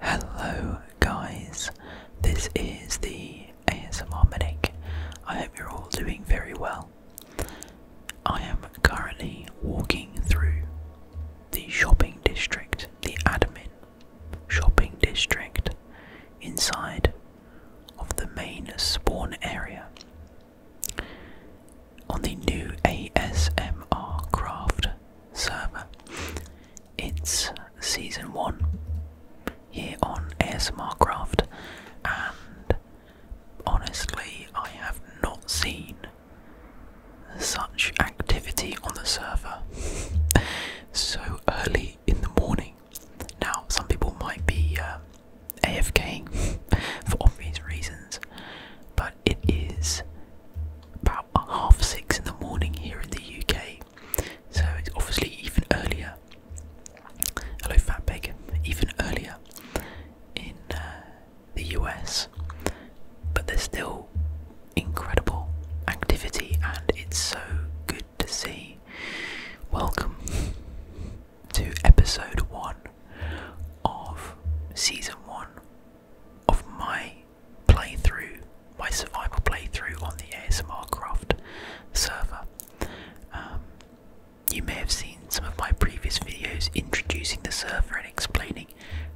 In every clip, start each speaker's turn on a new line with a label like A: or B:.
A: Hello, guys, this is the ASMR Medic. I hope you're all doing very well. I am currently walking through the shopping district, the admin shopping district inside of the main spawn area. On the new ASMR craft server. It's season one here on ASMR Craft, and honestly, I have not seen such activity on the server so early in the morning. Now, some people might be um, AFK for obvious reasons, but it is about half six in the morning here in the UK. So it's obviously even earlier. Hello, Fat Pig. Even earlier in uh, the US, but there's still incredible activity, and it's so good to see. Welcome to episode one of season one of my playthrough, my survival playthrough on the ASMR Craft server. Um, you may have seen some of my previous videos introducing the server and explaining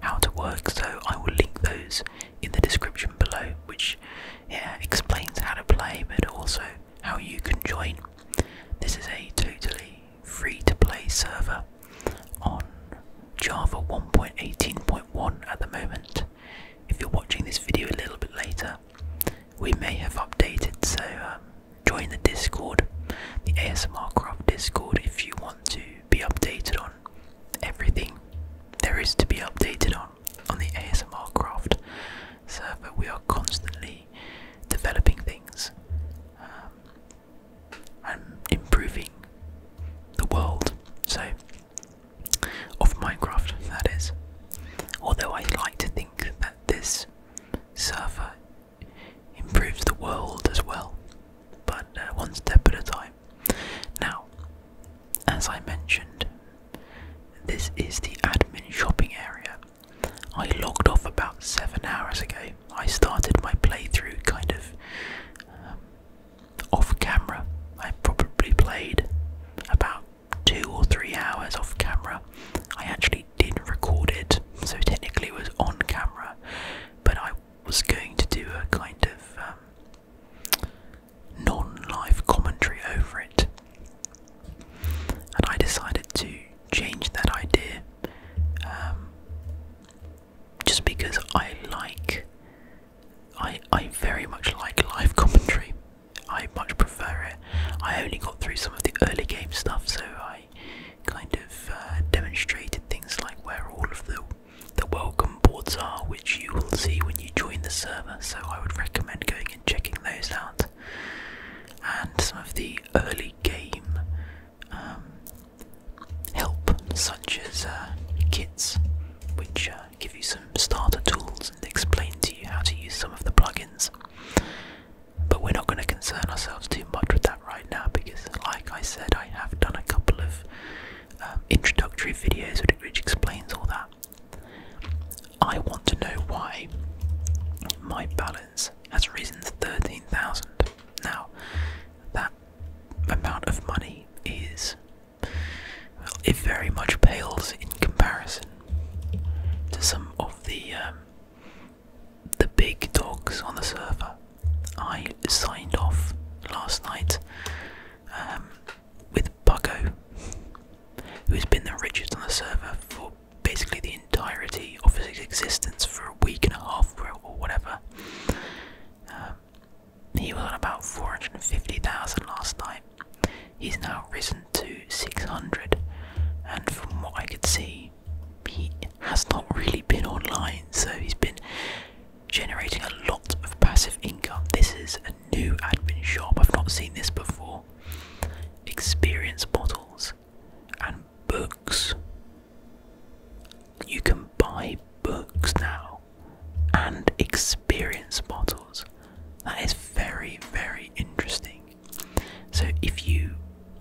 A: how to work, so I will link those in the description below, which yeah, explains how to play but also how you can join. This is a totally free to play server on Java 1.18.1 at the moment. If you're watching this video a little bit later, we may have updated, so um, join the Discord, the ASMR Craft Discord, if you want to be updated on everything there is to be updated on on the ASMR Craft server. We are constantly developing things. Um, and improving the world, so of Minecraft that is. Although I like to think that this server improves the world as well, but uh, one step at a time. Now, as I mentioned, this is the admin shopping area. I logged off about seven hours ago. I started my playthrough kind of um, off camera. I probably played about two or three hours off camera. I actually didn't record it, so technically it was on camera, but I was going to do a kind of um, non live commentary over it. And I decided to change that idea um, just because I like I I very much like live commentary. I much prefer it. I only got through some of the early game stuff, so I kind of uh, demonstrated things like where all of the the welcome boards are, which you will see when you join the server. So I would recommend going and checking those out. And some of the early game um, help, such as uh, kits, which uh, give you some starter tools and explain to you how to use some of the plugins. But we're not going to concern ourselves too much with that right now because, like I said, I have done a couple of um, introductory videos which explains all that. I want to know why my balance has risen to 13,000. Now, that amount of money is, well, it very much pales in comparison to some of the um, the big dogs on the server. I signed off last night um, with Bucko, who has been the richest on the server for basically the entirety of his existence for a week and a half or whatever. Um, he was on about 450,000 last time. He's now risen to 600, and from what I could see, he has not really been online, so he's been generating a lot of passive income. This is a new admin shop, I've not seen this before. Experience bottles and books. You can buy books now and experience bottles. That is very, very interesting. So, if you,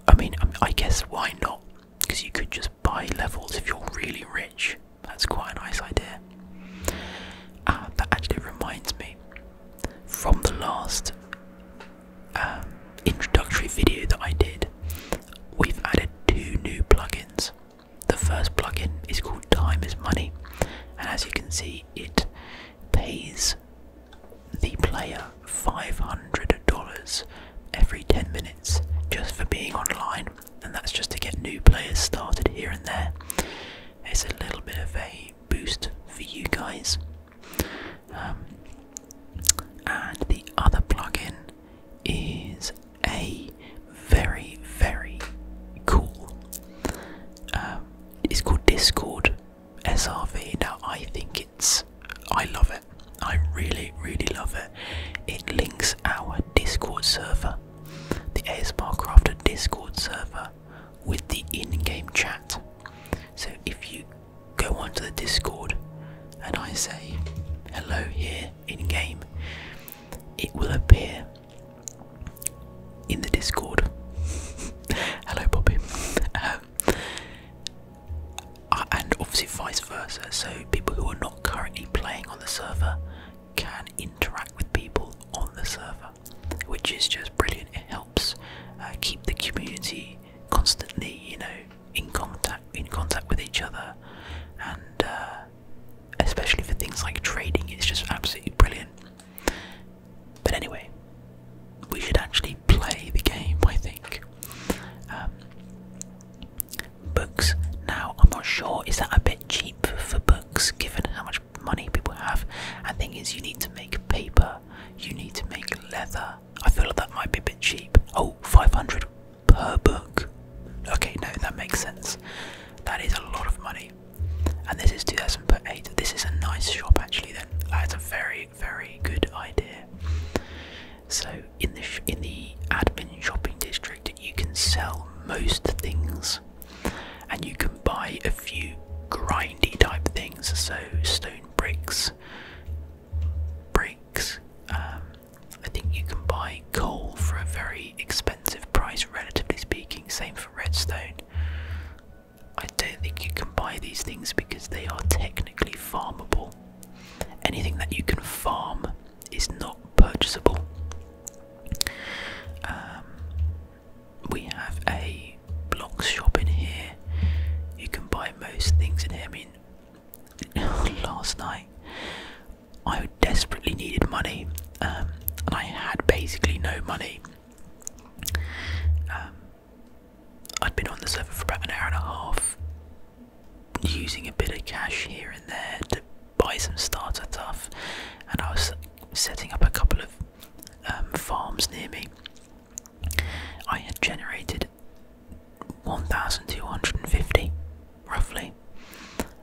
A: I mean, um, I guess why not? Because you could just buy levels if you're really rich. That's quite a nice idea. Uh, that actually reminds me from the last um, introductory video that I did, we've added two new plugins. The first plugin is called Time is Money, and as you can see, it pays the player $500 every 10 minutes just for being online, and that's just to get new players started here and there. It's a little bit of a boost for you guys. Um, and the other plugin is a very, very cool. Um, it's called Discord SRV. Now, I think it's. I love it. I really, really love it. It links our Discord server, the ASMR Crafter Discord server, with the in game chat. So if you go onto the Discord and I say, hello here, in game, it will appear in the Discord. Hello, Bobby. Um, and obviously, vice versa. So, people who are not currently playing on the server can interact with people on the server, which is just brilliant. It helps uh, keep the community constantly, you know, in contact in contact with each other, and uh, especially for things like trading, it's just absolutely brilliant. But anyway, we should actually play the game. I think um, books. Now I'm not sure. Is that a bit cheap for books, given how much money people have? And thing is, you need to make paper. You need to make leather. I feel like that might be a bit cheap. Oh, 500 per book. Okay, no, that makes sense. That is a lot of money. And this is 2000 per 8. This is a nice shop actually then. That's a very, very good idea. So in the, in the admin shopping district, you can sell most things and you can buy a few grindy type things. So stone bricks, bricks, um, I think you can buy coal for a very expensive price, relatively speaking. Same for redstone. I don't think you can buy these things because they are technically farmable. Anything that you can farm is not purchasable. Um, we have a block shop in here. You can buy most things in here. I mean, last night I desperately needed money, um, and I had basically no money. Um, I'd been on the server for about an hour and a half, using a bit of cash here and there to buy some starter stuff, and I was setting up a couple of um, farms near me. I had generated 1,250 roughly.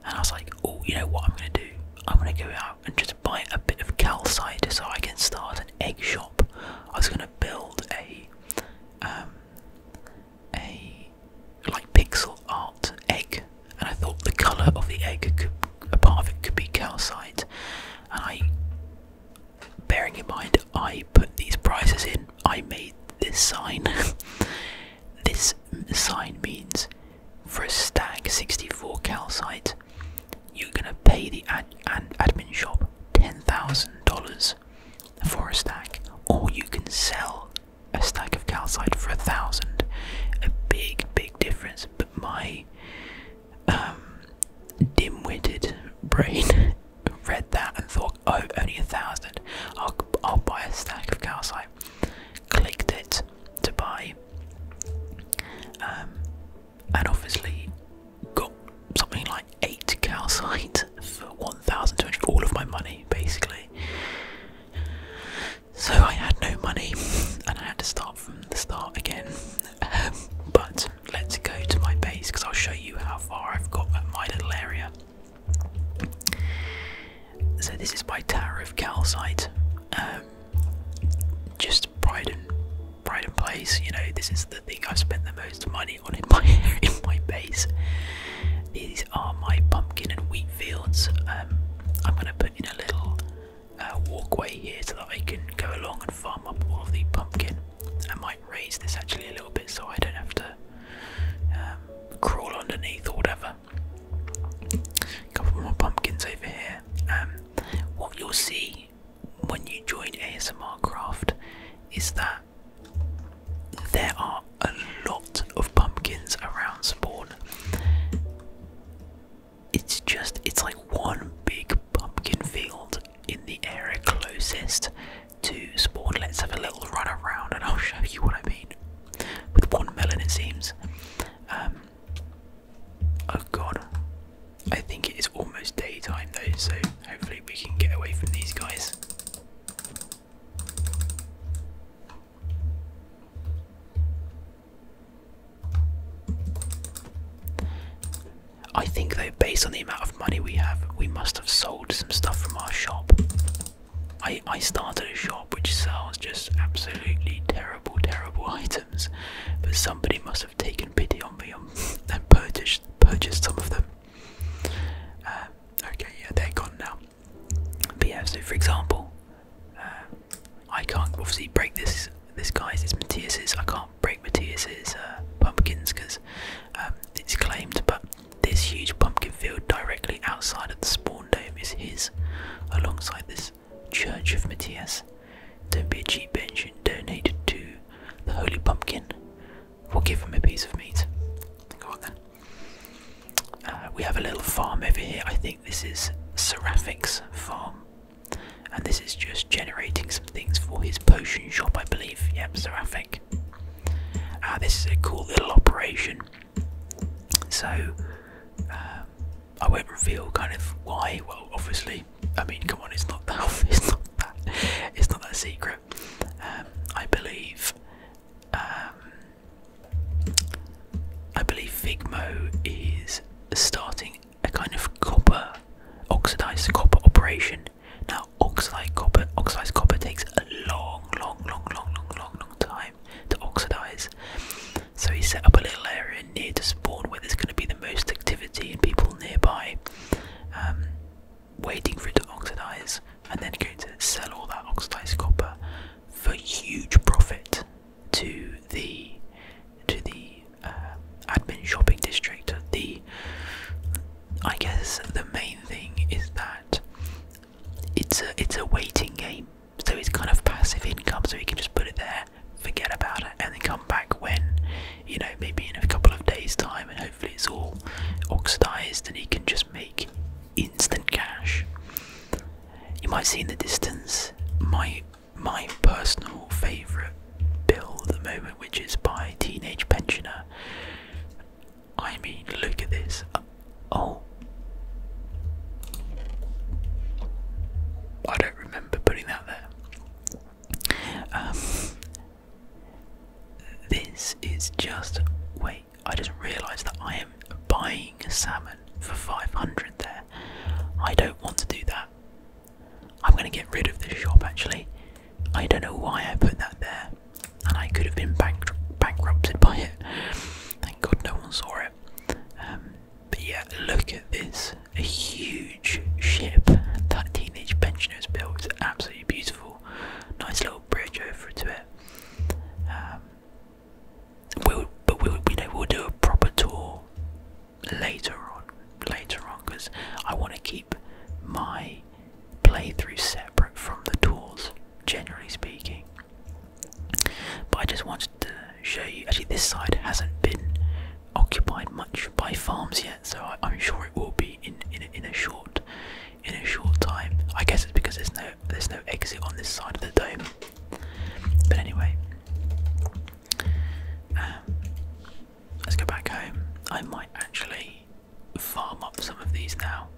A: And I was like, oh, you know what I'm going to do? I'm going to go out and just buy a bit of calcite so I can start an egg shop. I was going to build a, um, a like pixel art egg, and I thought the colour of the egg a part of it could be calcite. And I, bearing in mind, I put these prices in I made this sign. this sign means for a stack 64 calcite, you're gonna pay the ad admin shop $10,000 for a stack, or you can sell a stack of calcite for a thousand. A big, big difference, but my um, dim witted brain read that and thought, oh, only a thousand. I'll I'll buy a stack of calcite. Clicked it to buy, um, and obviously got something like eight calcite for one thousand, one thousand two hundred. All of my money, basically. So I had no money, and I had to start from the start again. Um, but let's go to my base because I'll show you how far I've got at my little area. So this is by Tower of Calcite, um, just Brighton, Brighton Place. You know, this is the thing I've spent the most money on in my in my base. These are my pumpkin and wheat fields. Um, I'm gonna put in a little uh, walkway here so that I can go along and farm up all of the pumpkin. I might raise this actually a little bit so I don't have to um, crawl underneath or whatever. Couple more pumpkins over here. Um, what you'll see when you join ASMR Craft is that there are a lot of pumpkins around spawn. It's just it's like one
B: big pumpkin field in the area closest to spawn. Let's have
A: a little run around and I'll show you what I mean. With one melon, it seems. Um, oh god. I think it is almost daytime though, so hopefully we can get away from these guys. I think though, based on the amount of money we have, we must have sold some stuff from our shop. I, I started a shop which sells just absolutely terrible, terrible items, but somebody must have taken pity on me and purchased, purchased some of them. Uh, okay, yeah, they're gone now. But yeah, so for example, uh, I can't obviously break this this guy's, it's Matthias's, I can't break Matthias's uh, pumpkins because um, it's claimed, but this huge pumpkin field directly outside of the spawn dome is his, alongside this Church of Matthias. Don't be a cheap engine. and donate to the Holy Pumpkin. We'll give him a piece of meat. Uh, we have a little farm over here. I think this is Seraphic's farm. And this is just generating some things for his potion shop, I believe. Yep, Seraphic. Ah, this is a cool little operation. So uh, I won't reveal kind of why. Well, obviously, I mean, come on, it's not that. It's not that. secret. Um, I believe. Um, I believe Figmo is starting a kind of copper oxidized copper operation now, oxide copper, oxidized copper takes a long, long, long, long, long, long, long time to oxidize. So he set up a little area near to spawn where there's going to be the most activity and people nearby, um, waiting for it to oxidize, and then going to sell all that oxidized copper for huge profit to the to the uh, admin shopping district, the I guess the main thing is that it's a it's a waiting game, so it's kind of passive income. So you can just put it there, forget about it, and then come back when you know maybe in a couple of days' time, and hopefully it's all oxidized, and you can just make instant cash. You might see in the distance my my personal favorite build at the moment, which is by Teenage Pensioner. I mean, look at this. Uh, oh. I don't remember putting that there. Um, this is just. Wait, I just realised that I am buying salmon for 500 there. I don't want to do that. I'm going to get rid of this shop actually. I don't know why I put that there, and I could have been bankrupted by it. Thank God no one saw it. Um, but yeah, look at this a huge ship that teenage pensioners built. It's absolutely beautiful. Nice little bridge over to it. Um, we'll, but we'll, be able to do a proper tour later on, later on, because I want to keep my playthrough separate from the tours, generally speaking. But I just wanted to show you. Actually, this side hasn't been occupied much by farms yet, so I, am sure it will be in in a, in a short in a short time. I guess it's because there's no there's no exit on this side of the dome. But anyway, um, let's go back home. I might actually farm up some of these now.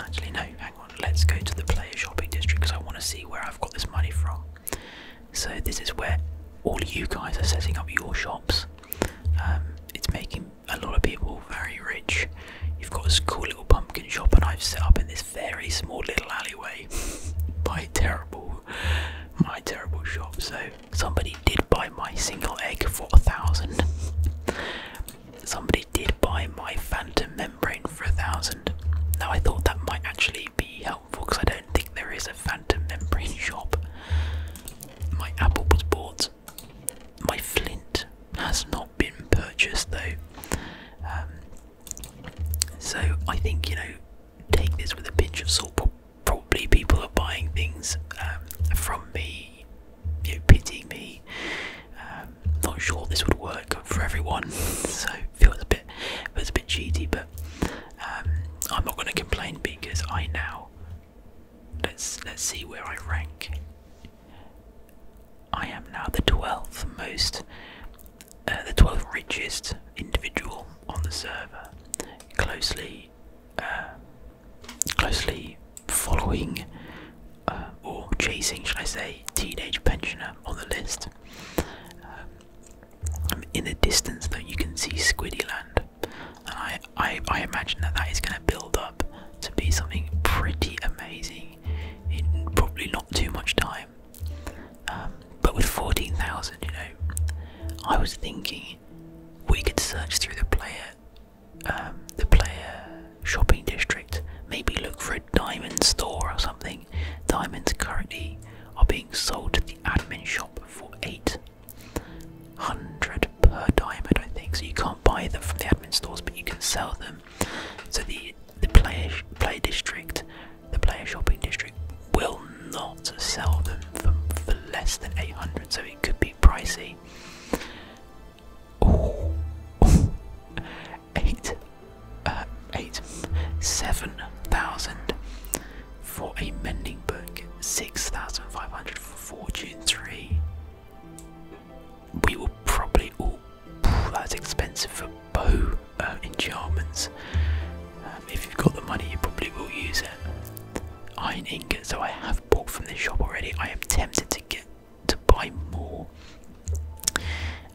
A: Actually, no, hang on. Let's go to the player shopping district because I want to see where I've got this money from. So, this is where all you guys are setting
B: up your shops. Um, it's making a lot of people very rich. You've got this cool little pumpkin shop, and I've set up in this
A: very small little alleyway by terrible, my terrible shop. So, somebody did buy my single egg for a thousand.
B: Somebody did buy my Phantom membrane for a thousand. Now I thought that might
A: actually be helpful because I don't think there is a Phantom membrane shop. My apple was bought. My flint has not been purchased though. Um, so I think you know, take this with a pinch of salt. Probably people are buying things um, from me you know, pitying me. Um, not sure this would work for everyone, so feels a bit feels a bit cheaty. But um, I'm not going to complain because I now let's let's see where I rank. I am now the 12th most, uh, the 12th richest individual on the server, closely uh, closely following uh, or chasing, should I say, teenage pensioner on the list. Um, in the distance, though, you can see Squiddyland, and I, I, I imagine that that is going to build up to be something pretty amazing in probably not too much time. Um, but with 14,000, you know, I was thinking we could search through the planet. Um, the player shopping district. Maybe look for a diamond store or something. Diamonds currently are being sold at the admin shop for 800 per diamond, I think. So you can't buy them from the admin stores, but you can sell them. So the the player player district,
B: the player shopping district, will not sell them for less than
A: 800. So it could be pricey. Oh, eight, uh, eight, seven thousand for a mending book, six thousand five hundred for Fortune three. We were probably all. Oh, that's expensive for bow uh, enchantments. Um, if you've got the money, you probably will use it. Iron ingot, so I have bought from this shop already. I am tempted to get to buy more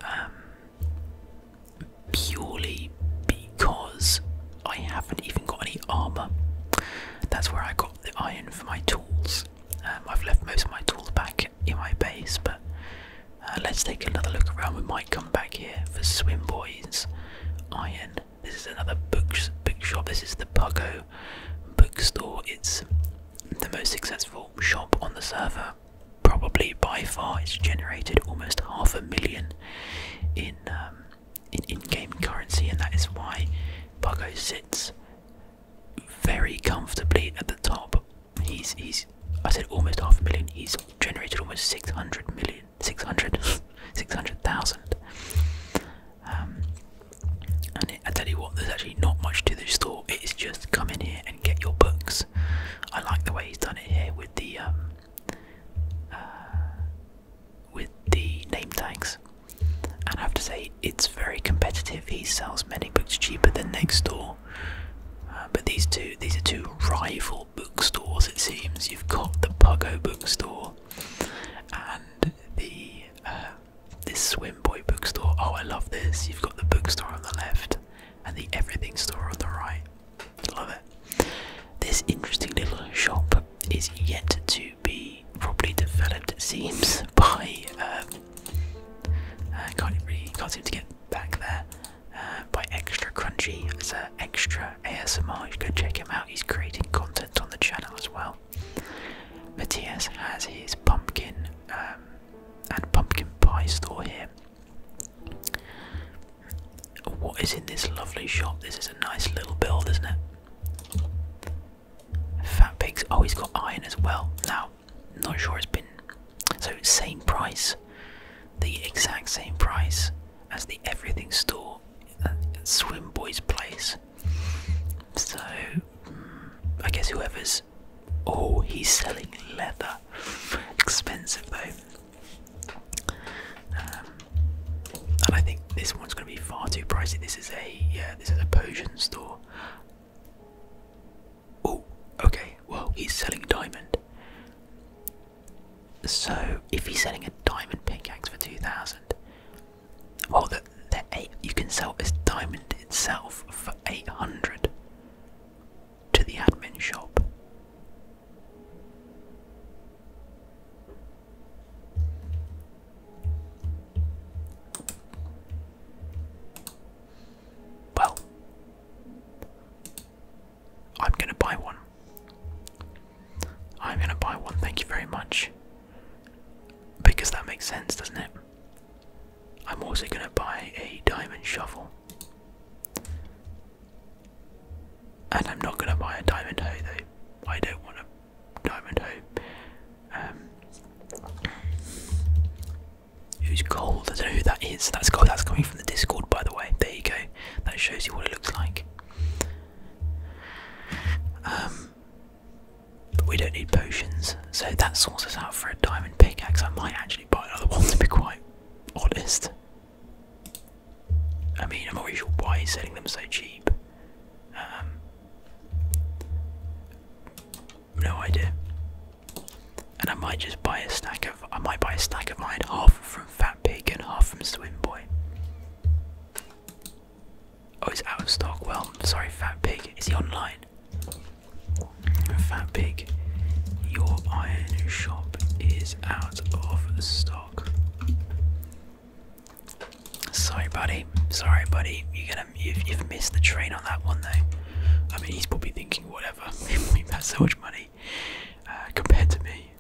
A: um, purely because I haven't even got any armor. That's where I got the iron for my tools. Um, I've left most of my tools back in my base, but uh, let's take another look around. We might come back here for swim boys iron. This is another books bookshop. This is the Pago bookstore. It's the most successful shop on the server, probably by far. It's generated almost half a million in um, in in-game currency, and that is why Pago sits very comfortably at the top. He's he's I said almost half a million. He's generated almost six hundred million, six hundred, six hundred thousand um, and I tell you what, there's actually not much to this store. It is just come in here and get your books. I like the way he's done it here with the um, uh, with the name tags. And I have to say, it's very competitive. He sells many books cheaper than next door. Uh, but these two, these are two rival bookstores. It seems you've got the Pogo bookstore and the uh, this Swim Boy bookstore. Oh, I love this. You've got the bookstore on the left and the everything store on the right. Love it. This interesting little shop is yet to be properly developed, it seems, by. I um, uh, can't really can't seem to get back there. Uh, by Extra Crunchy, as an extra ASMR. You go check him out. He's creating content on the channel as well well. Matthias has his pumpkin um, and pumpkin pie store here. What is in this lovely shop? This is a nice little build, isn't it? Fat pigs. Oh, he's got iron as well. Now, not sure it's been. So, same price. The exact same price as the everything store at uh, Swim Boy's place. So, I guess whoever's. Oh, he's selling leather. Expensive though. Um, and I think this one's going to be far too pricey. This is a yeah, this is a potion store. Oh, okay. Well, he's selling diamond. So if he's selling a diamond pickaxe for two thousand, well, the, the eight you can sell this diamond itself for 800 to the admin shop. Well, I'm gonna buy one. I'm gonna buy one, thank you very much. Because that makes sense, doesn't it? I'm also going to buy a diamond shovel. And I'm not going to buy a diamond hoe I don't want a diamond hoe. Um, who's cold? I don't know who that is. That's cold. That's coming from the Discord, by the way. There you go. That shows you what it looks like. Um, we don't need potions, so that sorts us out for a diamond pickaxe. I might actually buy another one to be quite honest. I mean, I'm not really sure why he's selling them so cheap. Um, no idea. And I might just buy a stack of I might buy a stack of mine, half from Fat Pig and half from Swim Boy. Oh, he's out of stock. Well, sorry, Fat Pig. Is he online? Fat Pig, your iron shop is out of stock. Sorry, buddy. Sorry, buddy. You're gonna you've, missed the train on that one, though. I mean, he's probably thinking whatever. We've had so much money uh, compared to me.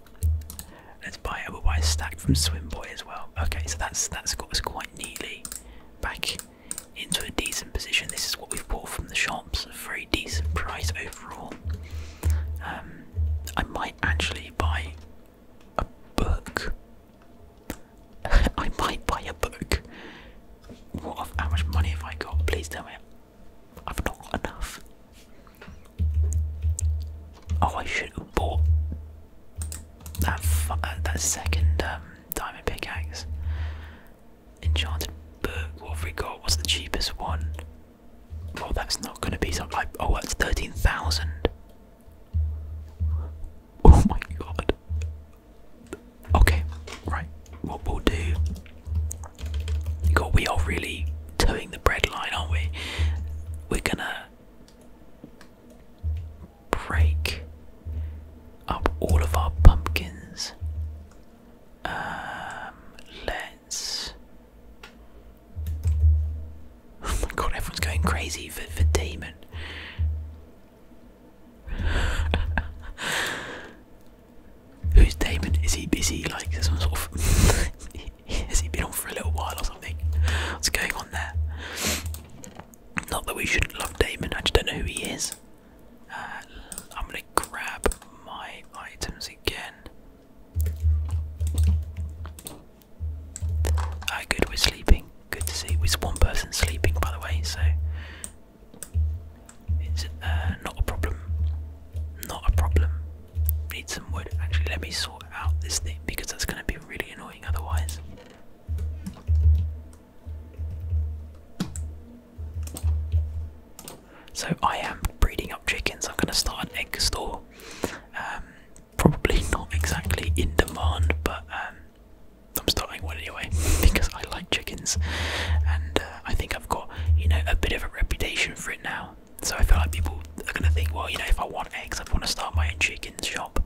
A: Let's buy it. a wise stack from Swimboy as well. Okay, so that's that's got us quite neatly back into a decent position. This is what we've bought from the shops, a very decent price overall. Um, I might actually buy a book. I might buy a book. What? How much money have I got? Please tell me. I've not got enough. Oh, I should have bought that uh, that second um, diamond pickaxe. Enchanted book. What have we got? What's the cheapest one? Well, that's not going to be something like. Oh, that's thirteen thousand. Oh my god. Okay, right. What we'll do. God, we are really towing the breadline, aren't we? We're gonna break up all of our pumpkins. Um, let's. Oh my god, everyone's going crazy for, for demon. Who's Damon? Is he busy? Like some sort of has he been on for a little while or something? What's going on there? Not that we shouldn't love Damon, I just don't know who he is. Uh, I'm gonna grab my items again. Ah, good, we're sleeping. Good to see. There's one person sleeping, by the way, so it's uh, not a problem. Not a problem. Need some wood. Actually, let me sort out this thing because that's gonna be really annoying otherwise. So I am breeding up chickens. I'm going to start an egg store. Um, probably not exactly in demand, but um, I'm starting one anyway because I like chickens, and uh, I think I've got you know a bit of a reputation for it now. So I feel like people are going to think, well, you know, if I want eggs, I want to start my own chicken shop.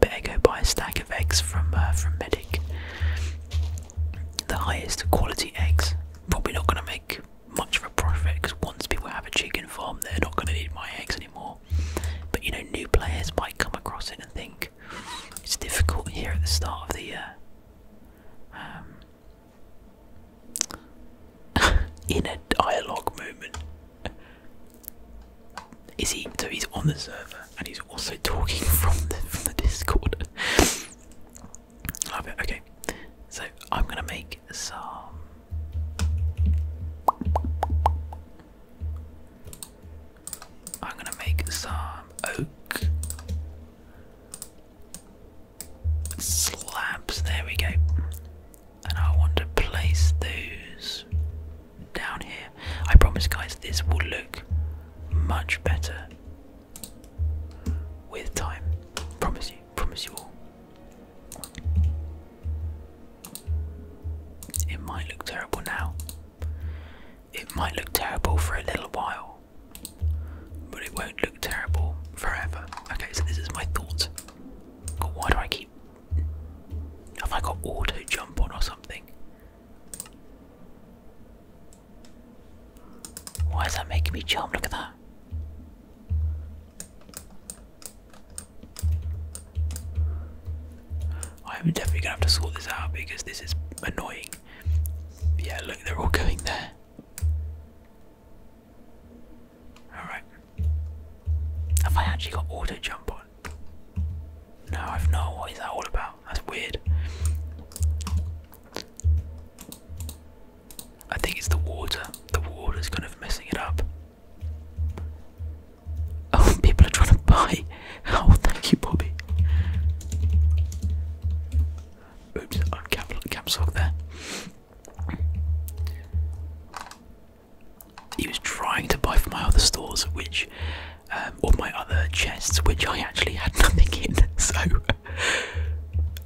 A: Better go buy a stack of eggs from uh, from Medic. The highest quality eggs. Probably not going to make much of a profit because once people have a chicken farm, they're not going to need my eggs anymore. But you know, new players might come across it and think it's difficult here at the start of the year. Um, in a dialogue moment, is he? So he's on the server and he's also talking from the from the Discord. Love it. Okay, so I'm gonna make some. I'm gonna make some oak slabs. There we go and I want to place those down here. I promise, guys, this will look much better with time. Promise you, promise you all. It might look terrible now, it might look terrible for a little while, but it won't look terrible forever. Okay, so this is my thought. God, why do I keep have I got auto jump on or something? Why is that making me jump? Look at that. I'm definitely gonna have to sort this out because this is annoying. Yeah, look, they're all going there. Alright. Have I actually got auto jump on? No, I've not. What is that all about? That's weird. I think it's the water. The water's kind of messing it up. Oh, people are trying to buy. Oh, thank you, Bobby. Oops, I'm cap, cap there he was trying to buy from my other stores, which um, or my other chests, which I actually had nothing in. So,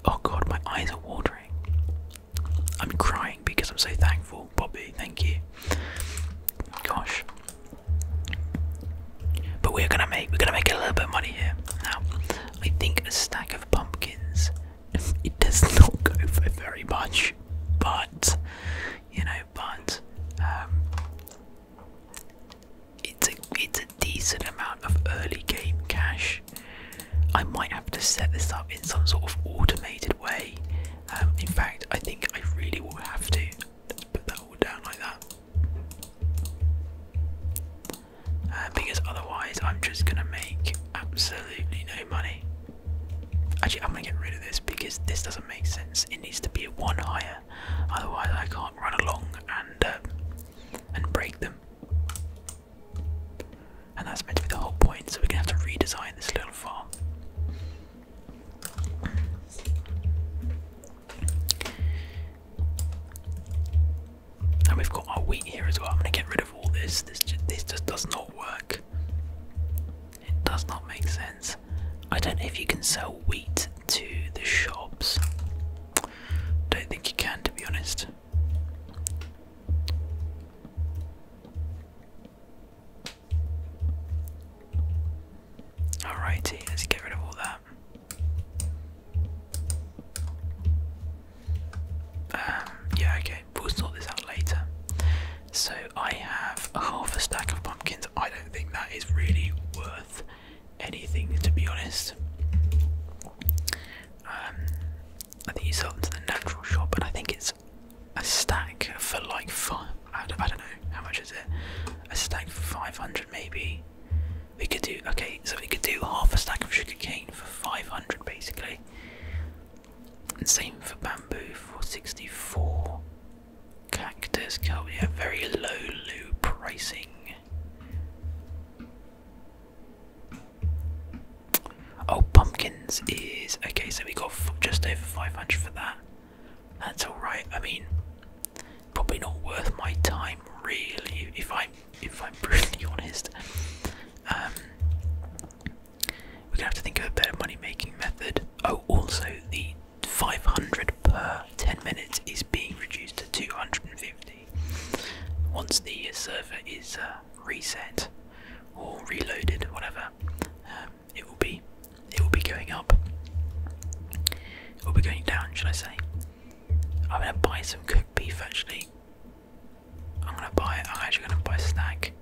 A: oh god, my eyes are watering. I'm crying because I'm so thankful, Bobby. Thank you. Gosh. But we're gonna make we're gonna make a little bit money here now. I think a stack of pumpkins it does not go for very much, but you know, but um, it's a it's a decent amount of early game cash. I might have to set this up in some sort of automated way. Um, in fact, I think I really will have to. Let's put that all down like that. Uh, because otherwise, I'm just gonna make absolutely no money. Actually, I'm gonna get rid of this because this doesn't make sense. It needs to be one higher, otherwise I can't run along and uh, and break them. And that's meant to be the whole point. So we're gonna have to redesign this little farm. And we've got our wheat here as well. I'm gonna get rid all this. This just does not work. It does not make sense. I don't know if you can sell wheat to the shops. Don't think you can, to be honest. Alrighty, let's get rid of all that. Um, yeah, okay we'll sort this out later. So I have half a stack of pumpkins. I don't think that is really worth anything to be honest. Um, I think you sold them to the natural shop, and I think it's a stack for like five. I don't, know how much is it.
B: A stack for five hundred maybe. We could do okay, so we could do half a stack of sugarcane
A: for five hundred basically same for bamboo, 464. Cactus, yeah, very low, low pricing. Oh, pumpkins is okay. So we got just over 500 for that. That's all right. I mean, probably not worth my time, really. If I'm if I'm brutally honest. Um, we're gonna have to think of a better money-making method. Oh, also the 500 per 10 minutes is being reduced to 250 once the server is uh, reset or reloaded, whatever. Um, it will be, it will be going up. It will be going down, should I say? I'm gonna buy some cooked beef actually. I'm gonna buy it. I'm actually gonna buy snack.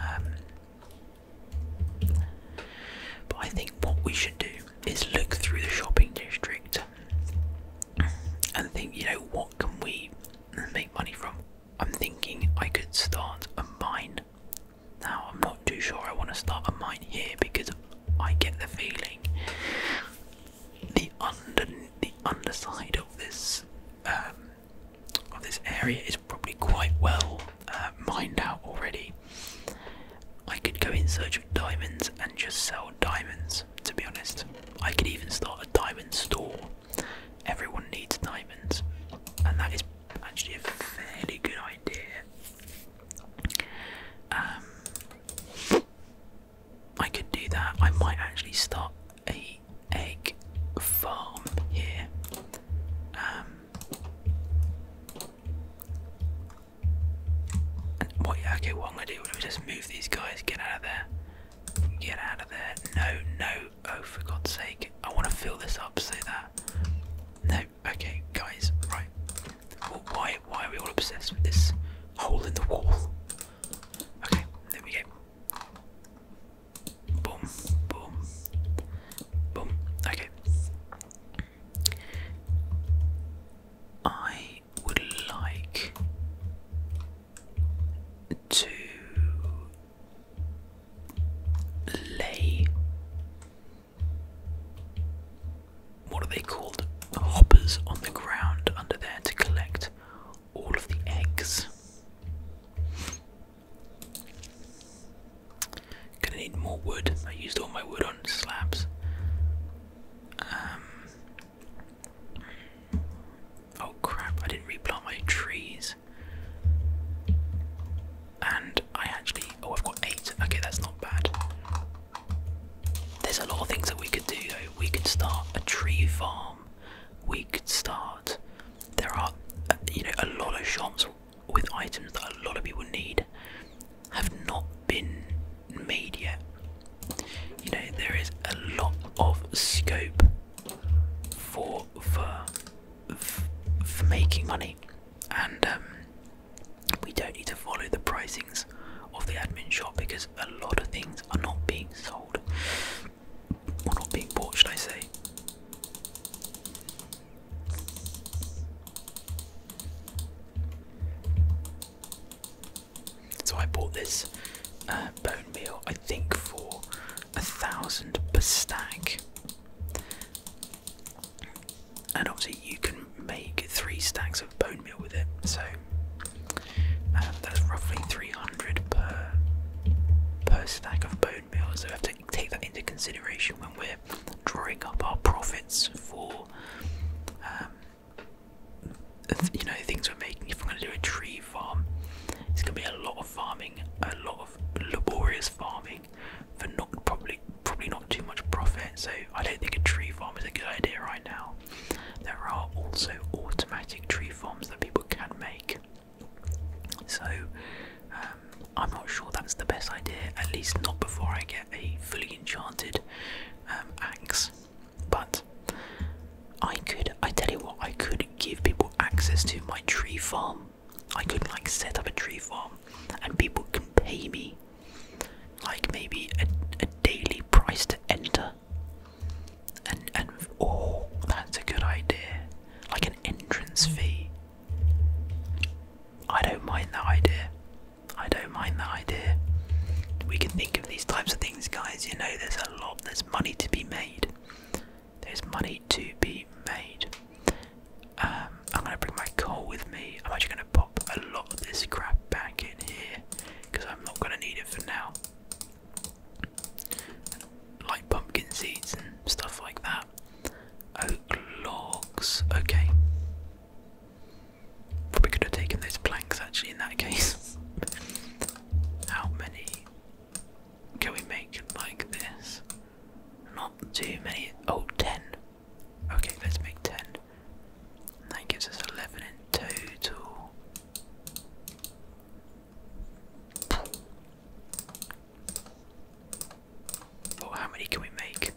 A: Um, but I think what we should do is look through the shopping district and think, you know, what can we make money from? I'm thinking I could start a mine. Now, I'm not too sure I want to start a mine here because I get the feeling the under the underside of this um, of this area is probably quite well uh, mined out already. I could go in search of diamonds and just sell diamonds, to be honest. I could even start a diamond store. Everyone needs diamonds, and that is actually a fairly good idea. Um, I could do that. I might actually start a egg farm here. Um, and what? Yeah, okay, what I'm gonna do is just move these guys. Get out of there. Get out of there. No, no. Oh, for God's sake! I want to fill this up so that. No. Okay, guys. Right. Well, why? Why are we all obsessed with this hole in the wall? Okay, there we go. Boom, boom, boom. Okay. I would like to lay. What are they called? Hoppers on the ground under there to collect all of the eggs. Gonna need more wood. I used all my wood on slabs. Um, oh crap, I didn't replant my trees. And I actually. Oh, I've got eight. Okay, that's not bad. There's a lot of things that we could do though. We could start a tree farm we could start. There are, you know, a lot of shops with items that a lot of people need have not been made yet. You know, there is a lot of scope for for for making money, and um, we don't need to follow the pricings of the admin shop because a lot of things are not being sold. Or not being bought, should I say? So I bought this uh, bone meal, I think, for a thousand per stack.
B: And obviously, you can make three
A: stacks of bone meal with it, so um, that's roughly 300 per per stack of bone meal. So we have to take that into consideration when we're drawing up our profits for, um, you know, things we're making. If we're going to do a tree farm, it's going to be a lot of farming, a lot of laborious farming for not probably probably not too much profit. So I don't think a tree farm is a good idea right now. There are also automatic tree farms that people can make. So um, I'm not sure that's the best idea, at least not before I get a fully enchanted um, axe. But I could, I tell you what, I could give people access to my tree farm. I could like set up a tree farm and people can pay me like maybe a, a daily price to enter and and oh, that's a good idea. Like an entrance fee. I don't mind that idea. I don't mind that idea. We can think of these types of things, guys. You know, there's a lot. There's money to be made. There's money to be made. Um, I'm gonna bring my coal with me. I'm actually gonna pop a lot of this crap back in here because I'm not gonna need it for now like pumpkin seeds and stuff like that. Oak logs, okay. Probably could have taken those planks actually in that case. How many can we make like this? Not too many. Oh, Okay, let's make 10. That gives us 11 in total. Well, how many can we make?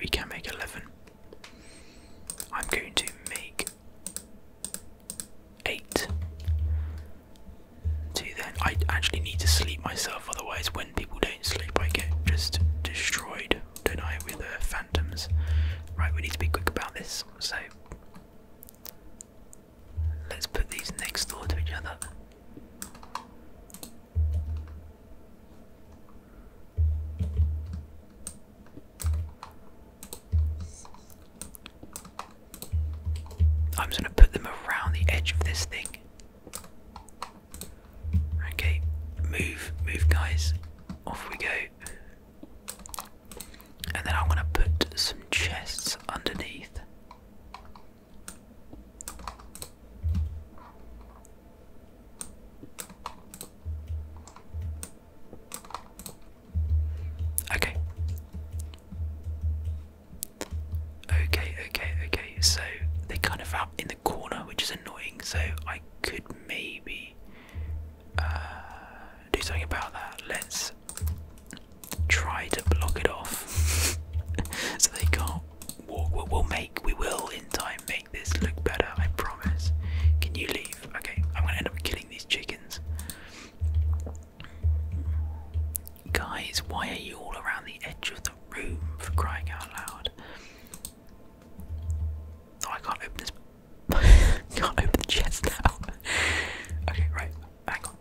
A: we can make 11. I'm going to make 8. To then, I actually need to sleep myself, otherwise, when people don't sleep, I get just destroyed don't I, with uh, phantoms. Right, we need to be quick about this, so let's put these next door to each other. I'm just going to put them around the edge of this thing. Okay, move, move, guys. Off we go. And then I'm going to put some chests underneath. Okay. Okay, okay, okay. So they kind of out in the corner, which is annoying. So I could maybe do something about that. Let's try to block it off so they can't walk. We'll make, we will in time make this look better, I promise. Can you leave? Okay, I'm gonna end up killing these chickens. Guys, why are you all around the edge of the room for crying out loud? Oh, I can't open this. can't open the chest now. okay, right. Hang on.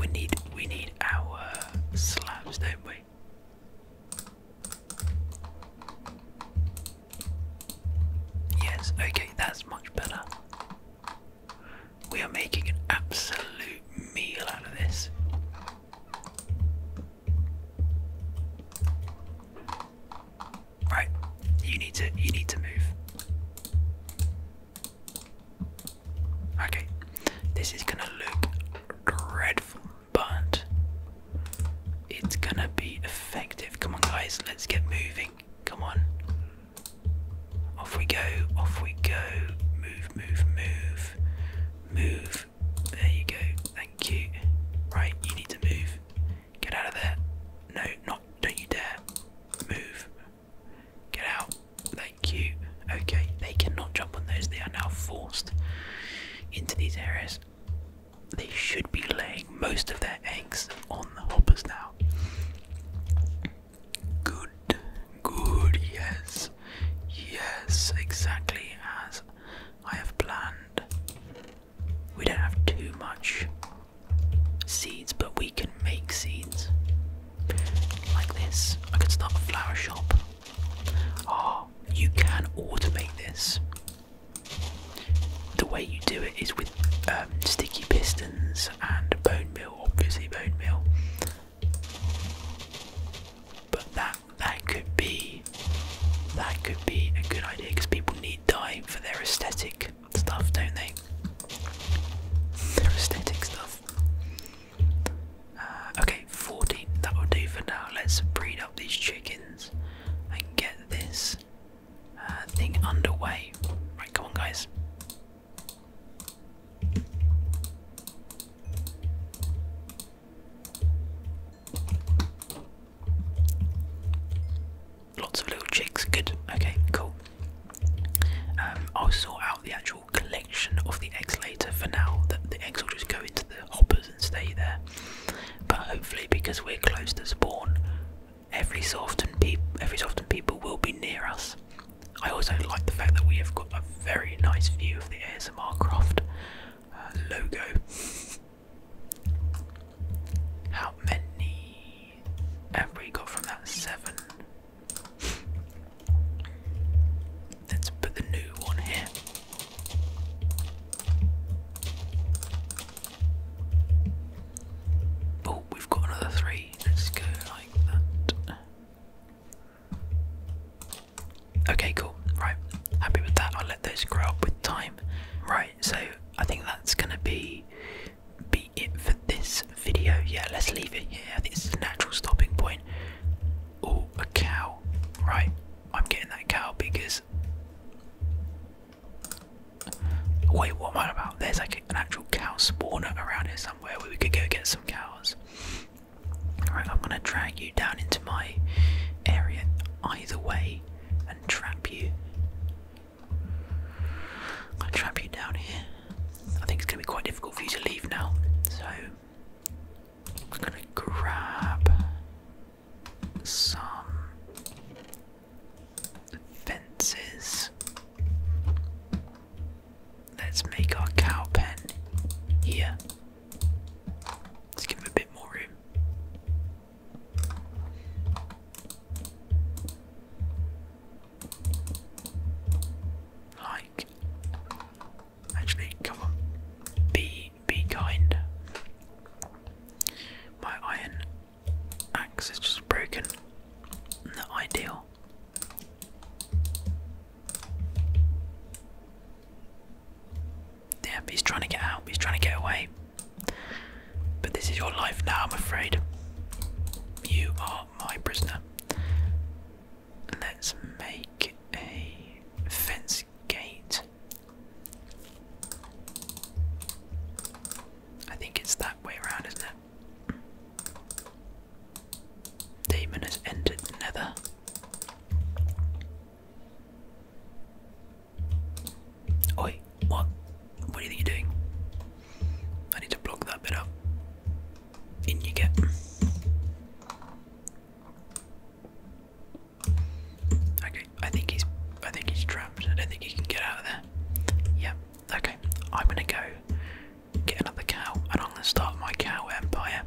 A: We need we need our slabs, don't we? Yes. Okay, that's much better. We are making an absolute meal out of this. Right, you need to you need to move. Okay, this is gonna look dreadful, but it's gonna be effective. Come on, guys, let's get moving. Come on, off we go, off we go. Move, move, move, move, there you go. Thank you. Right, you need to move. Get out of there. No, not. Don't you dare. Move. Get out. Thank you. Okay, they cannot jump on those. They are now forced into these areas. They should be laying most of their eggs on the hoppers now. Good, good, yes, yes, exactly as I have planned. We don't have too much seeds, but we can make seeds. Like this. I could start a flower shop. Ah, oh, you can automate this. The way you do it is with um, sticky pistons and bone meal, obviously, bone meal. But that that could be that could be a good idea because people need dye for their aesthetic stuff, don't they? Their aesthetic stuff. Uh, okay, 14. That will do for
B: now. Let's breed up these chickens and get this uh, thing underway. Right, come on, guys.
A: Lots of little chicks. Good. Okay. Cool. Um, I'll sort out the actual collection of the eggs later. For now, that the eggs will just go into the hoppers and stay there. But hopefully, because we're close to spawn, every so often, every so often people will be near us. I also like the fact that we have got a very nice view of the ASMR Craft uh, logo. How many have we got from that seven? Let's put the new one here. Oh, we've got another three. Let's go like that. Okay, cool. Right, happy with that. I'll let those grow up with time. Right, so I think that's gonna be be it for this video. Yeah, let's leave it here. This is it's a natural stopping point. Oh, a cow. Right, I'm getting that cow because. Wait, what am I about? There's like an actual cow spawner around here somewhere where we could go get some cows. Alright, I'm gonna drag you down into my area. I either way and trap you. i trap you down here. I think it's gonna be quite difficult for you to leave now, so I'm gonna grab some fences. Let's make our cow pen here. Let's give him a bit more room. Like, actually, come on, be be kind. My iron axe is just broken. Not ideal. Yeah, he's trying to get out, he's trying to get away. But this is your life now, I'm afraid. You are my prisoner. Let's make a fence gate. I think it's that way around, isn't it? Damon has entered Nether. Oi, what? What do you doing? I need to block that bit up. In you get. Okay, I think he's I think he's trapped. I don't think he can get out of there. Yeah, okay. I'm gonna go get another cow and I'm gonna start my cow empire.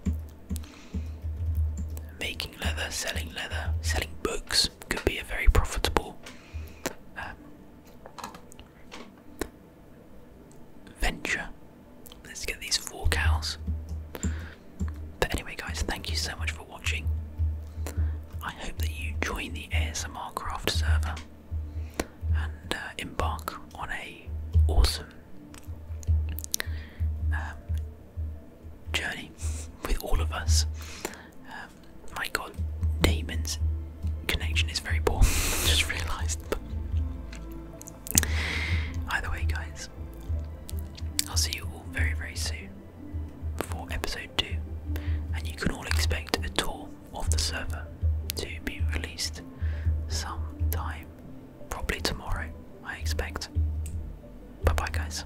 A: Making leather, selling leather, selling books could be a very profitable um, venture. Let's get these four cows. But anyway, guys, thank you so much for watching. I hope that you join the ASMR Craft server and uh, embark on a awesome um, journey with all of us. Um, my God, Damon's connection is very poor. Just realised. Either way, guys, I'll see you all very, very soon for episode two, and you can all expect a tour of the server to be released sometime Probably tomorrow, I expect. Bye bye, guys.